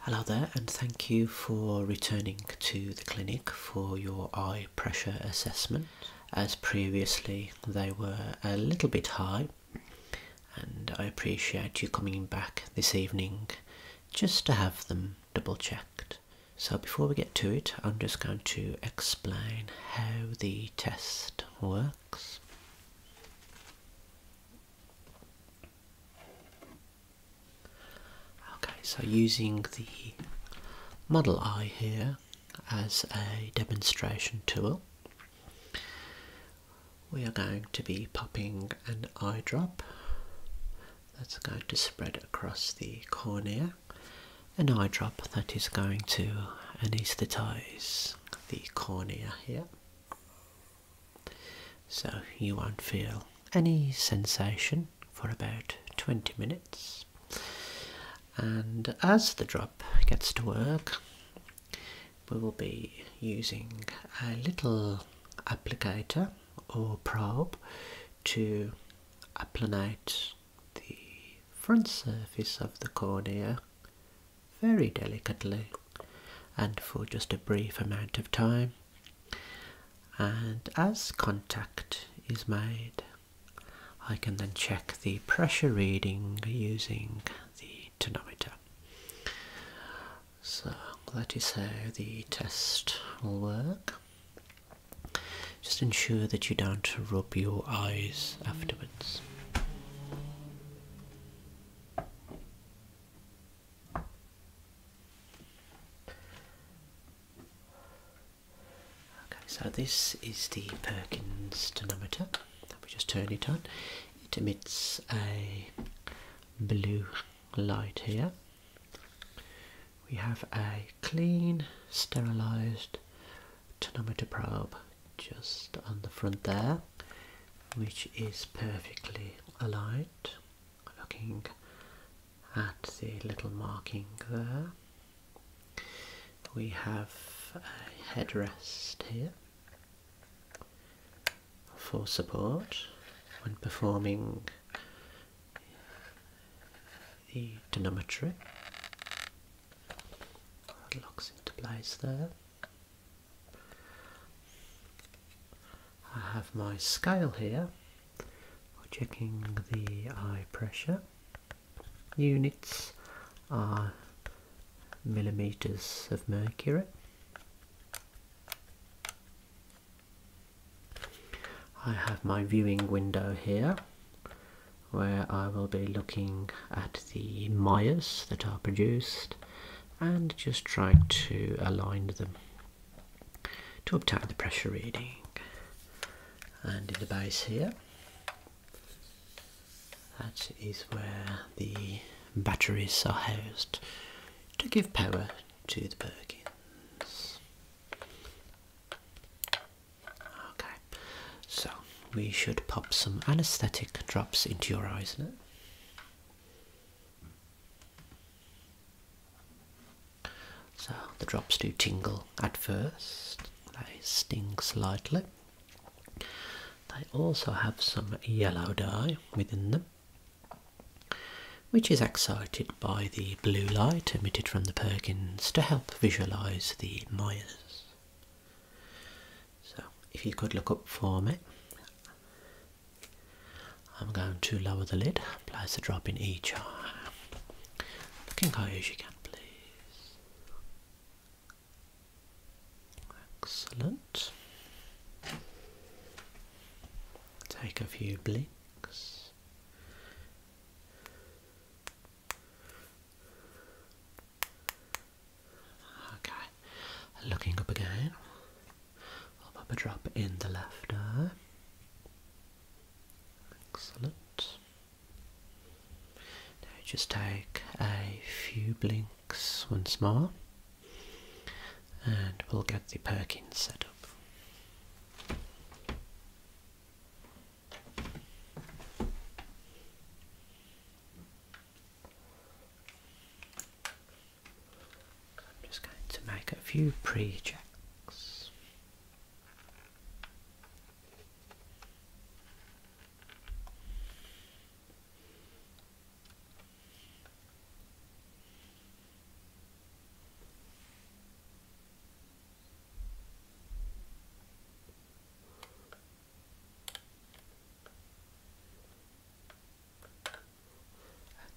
Hello there, and thank you for returning to the clinic for your eye pressure assessment. As previously, they were a little bit high, and I appreciate you coming back this evening just to have them double checked. So, before we get to it, I'm just going to explain how the test works. Okay, so using the model eye here as a demonstration tool, we are going to be popping an eye drop that's going to spread across the cornea, an eye drop that is going to anesthetize the cornea here. So you won't feel any sensation for about 20 minutes. And as the drop gets to work, we will be using a little applicator or probe to apply applanate the front surface of the cornea very delicately and for just a brief amount of time. And as contact is made, I can then check the pressure reading using the tonometer. So that is how the test will work. Just ensure that you don't rub your eyes afterwards. Okay, so this is the Perkins tonometer. If we just turn it on, it emits a blue light here. We have a clean, sterilised tonometer probe just on the front there which is perfectly aligned. Looking at the little marking there, we have a headrest here for support when performing the dynamometry. locks into place there. I have my scale here for checking the eye pressure. Units are millimeters of mercury. I have my viewing window here where I will be looking at the mires that are produced and just try to align them to obtain the pressure reading. And in the base here, that is where the batteries are housed to give power to the Perkins. Okay, so we should pop some anesthetic drops into your eyes now. So the drops do tingle at first, they sting slightly. They also have some yellow dye within them, which is excited by the blue light emitted from the Perkins to help visualise the Myers. So if you could look up for me I'm going to lower the lid, place a drop in each eye. Looking high as you can, please. Excellent. Take a few blinks. Okay, Looking up again. I'll pop a drop in the left eye. Excellent. Now just take a few blinks once more and we'll get the Perkins set up. I'm just going to make a few prechecks.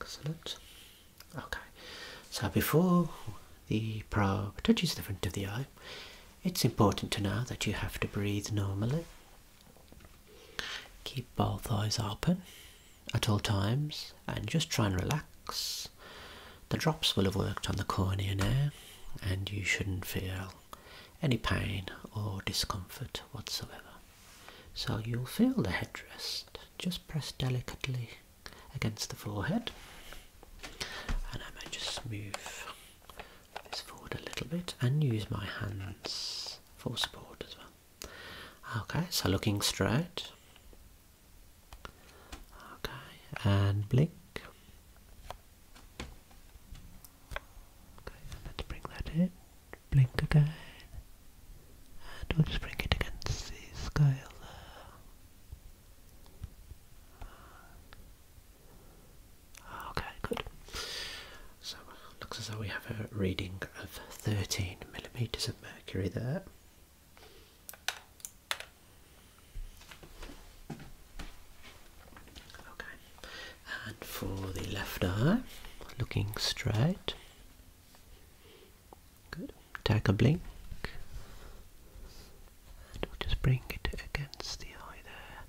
Excellent. Okay, so before the probe touches the front of the eye, it's important to know that you have to breathe normally. Keep both eyes open at all times and just try and relax. The drops will have worked on the cornea now, and you shouldn't feel any pain or discomfort whatsoever. So you'll feel the headrest. Just press delicately against the forehead. And I might just move this forward a little bit and use my hands for support as well. Okay, so looking straight. Okay, and blink. Okay, let's bring that in blink again. And we'll just bring it against the scale there. Ah, okay, good. So looks as though we have a reading of 13 millimeters of mercury there. Okay, and for the left eye, looking straight. Good. Take a blink. And we'll just bring it against the eye there.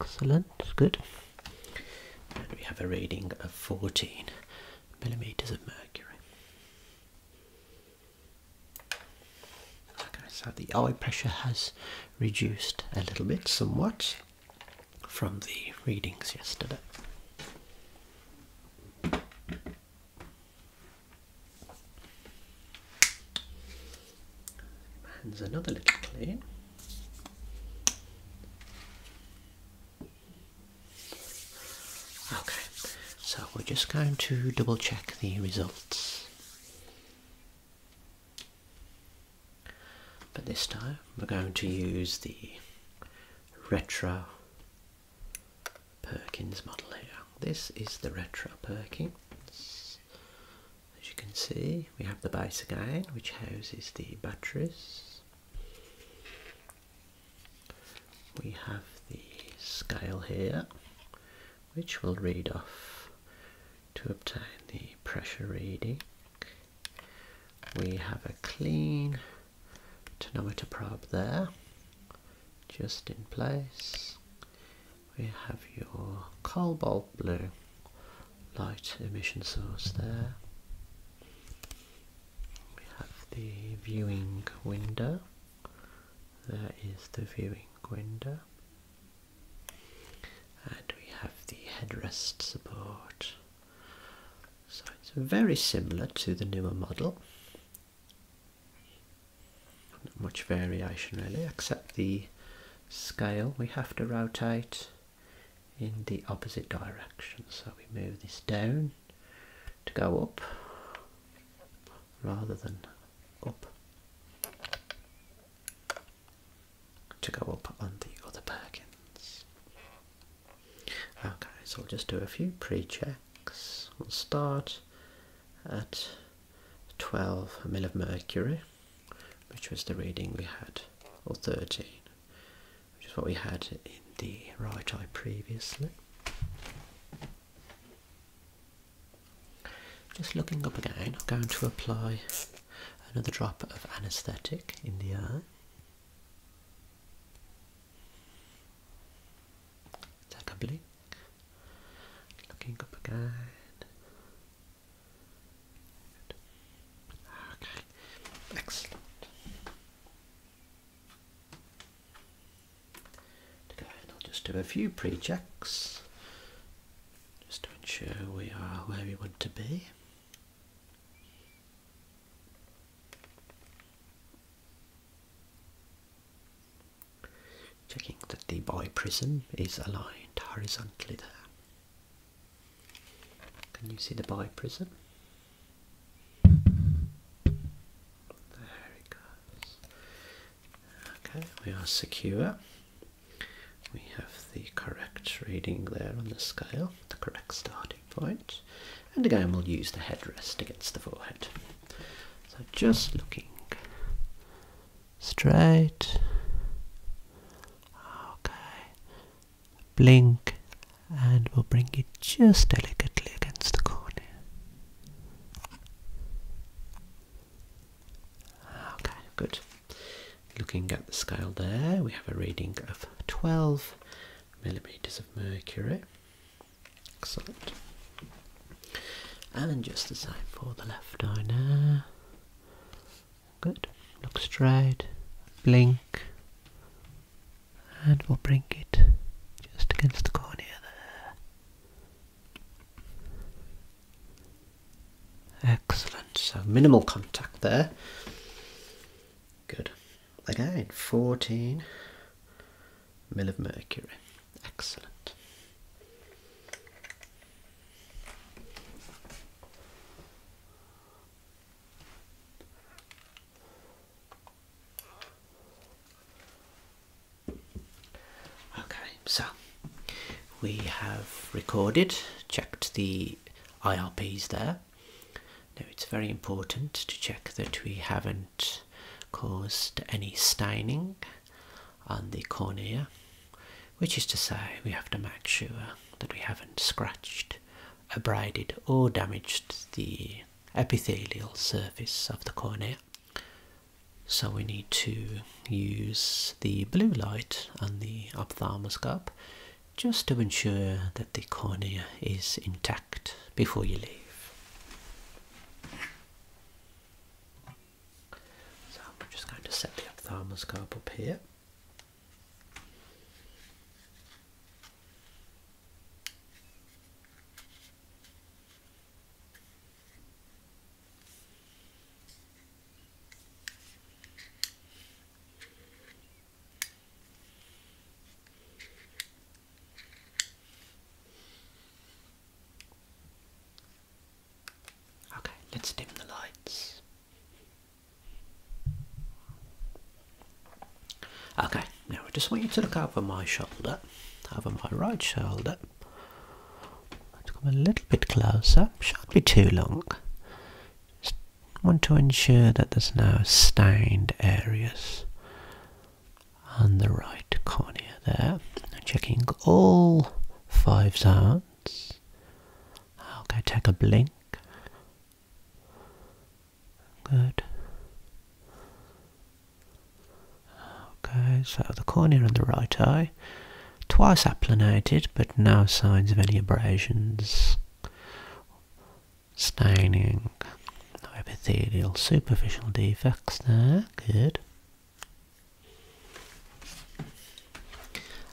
Excellent. Good. And we have a reading of 14 millimeters of mercury. I said, the eye pressure has reduced a little bit, somewhat, from the readings yesterday. Hands another little clean. Okay, so we're just going to double check the results. But this time we're going to use the Retro Perkins model here. This is the Retro Perkins. As you can see, we have the base again, which houses the batteries. We have the scale here, which will read off to obtain the pressure reading we have a clean tonometer probe there just in place we have your cobalt blue light emission source there we have the viewing window there is the viewing window and we have the headrest support. So it's very similar to the newer model. Not much variation really, except the scale we have to rotate in the opposite direction. So we move this down to go up rather than up to go up on the other backends. Okay, so we'll just do a few pre-checks. We'll start at 12 mil of mercury, which was the reading we had, or 13, which is what we had in the right eye previously. Just looking up again, I'm going to apply Another drop of anesthetic in the eye. Take a blink. Looking up again. Okay. Excellent. Okay, I'll just do a few pre-checks just to ensure we are where we want to be. Checking that the boy prism is aligned horizontally there. Can you see the boy prism? There it goes. Okay, we are secure we have the correct reading there on the scale, the correct starting point, and again we'll use the headrest against the forehead. So just looking straight. Okay. Blink and we'll bring it just delicately against the corner. Okay, good. Looking at the scale there, we have a reading of 12 millimeters of mercury. Excellent. And just the same for the left eye now. Good. Look straight. Blink. And we'll bring it just against the cornea there. Excellent. So minimal contact there. Good. Again, 14 mill of mercury. Excellent. Okay, so we have recorded, checked the IRPs there. Now it's very important to check that we haven't caused any staining on the cornea, which is to say we have to make sure that we haven't scratched, abraded or damaged the epithelial surface of the cornea. So we need to use the blue light on the ophthalmoscope just to ensure that the cornea is intact before you leave. So I'm just going to set the ophthalmoscope up here. Okay, let's dim the lights. Okay, now I just want you to look over my shoulder, over my right shoulder. come a little bit closer, shan't be too long want to ensure that there's no stained areas on the right cornea there. Checking all five zones. Okay, take a blink. Good. Okay, so the cornea and the right eye twice applanated, but no signs of any abrasions, staining, no epithelial superficial defects there, good.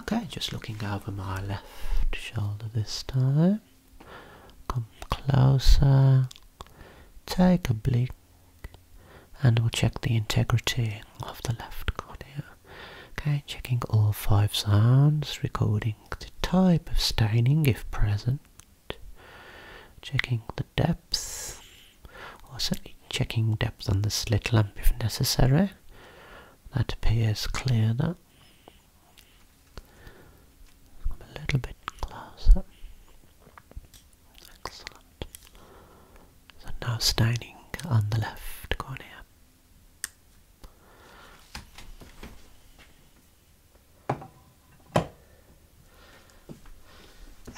Okay, just looking over my left shoulder this time. Come closer, take a blink, and we'll check the integrity of the left cornea. Okay, checking all five sounds, recording the type of staining if present, checking the depth, or also checking depth on the slit lamp if necessary. That appears clear now. a little bit closer. Excellent. So now staining on the left cornea.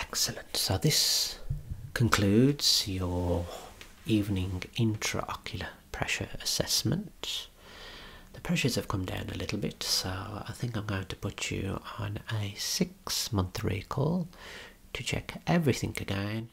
Excellent. So this concludes your evening intraocular pressure assessment. The pressures have come down a little bit, so I think I'm going to put you on a six month recall to check everything again.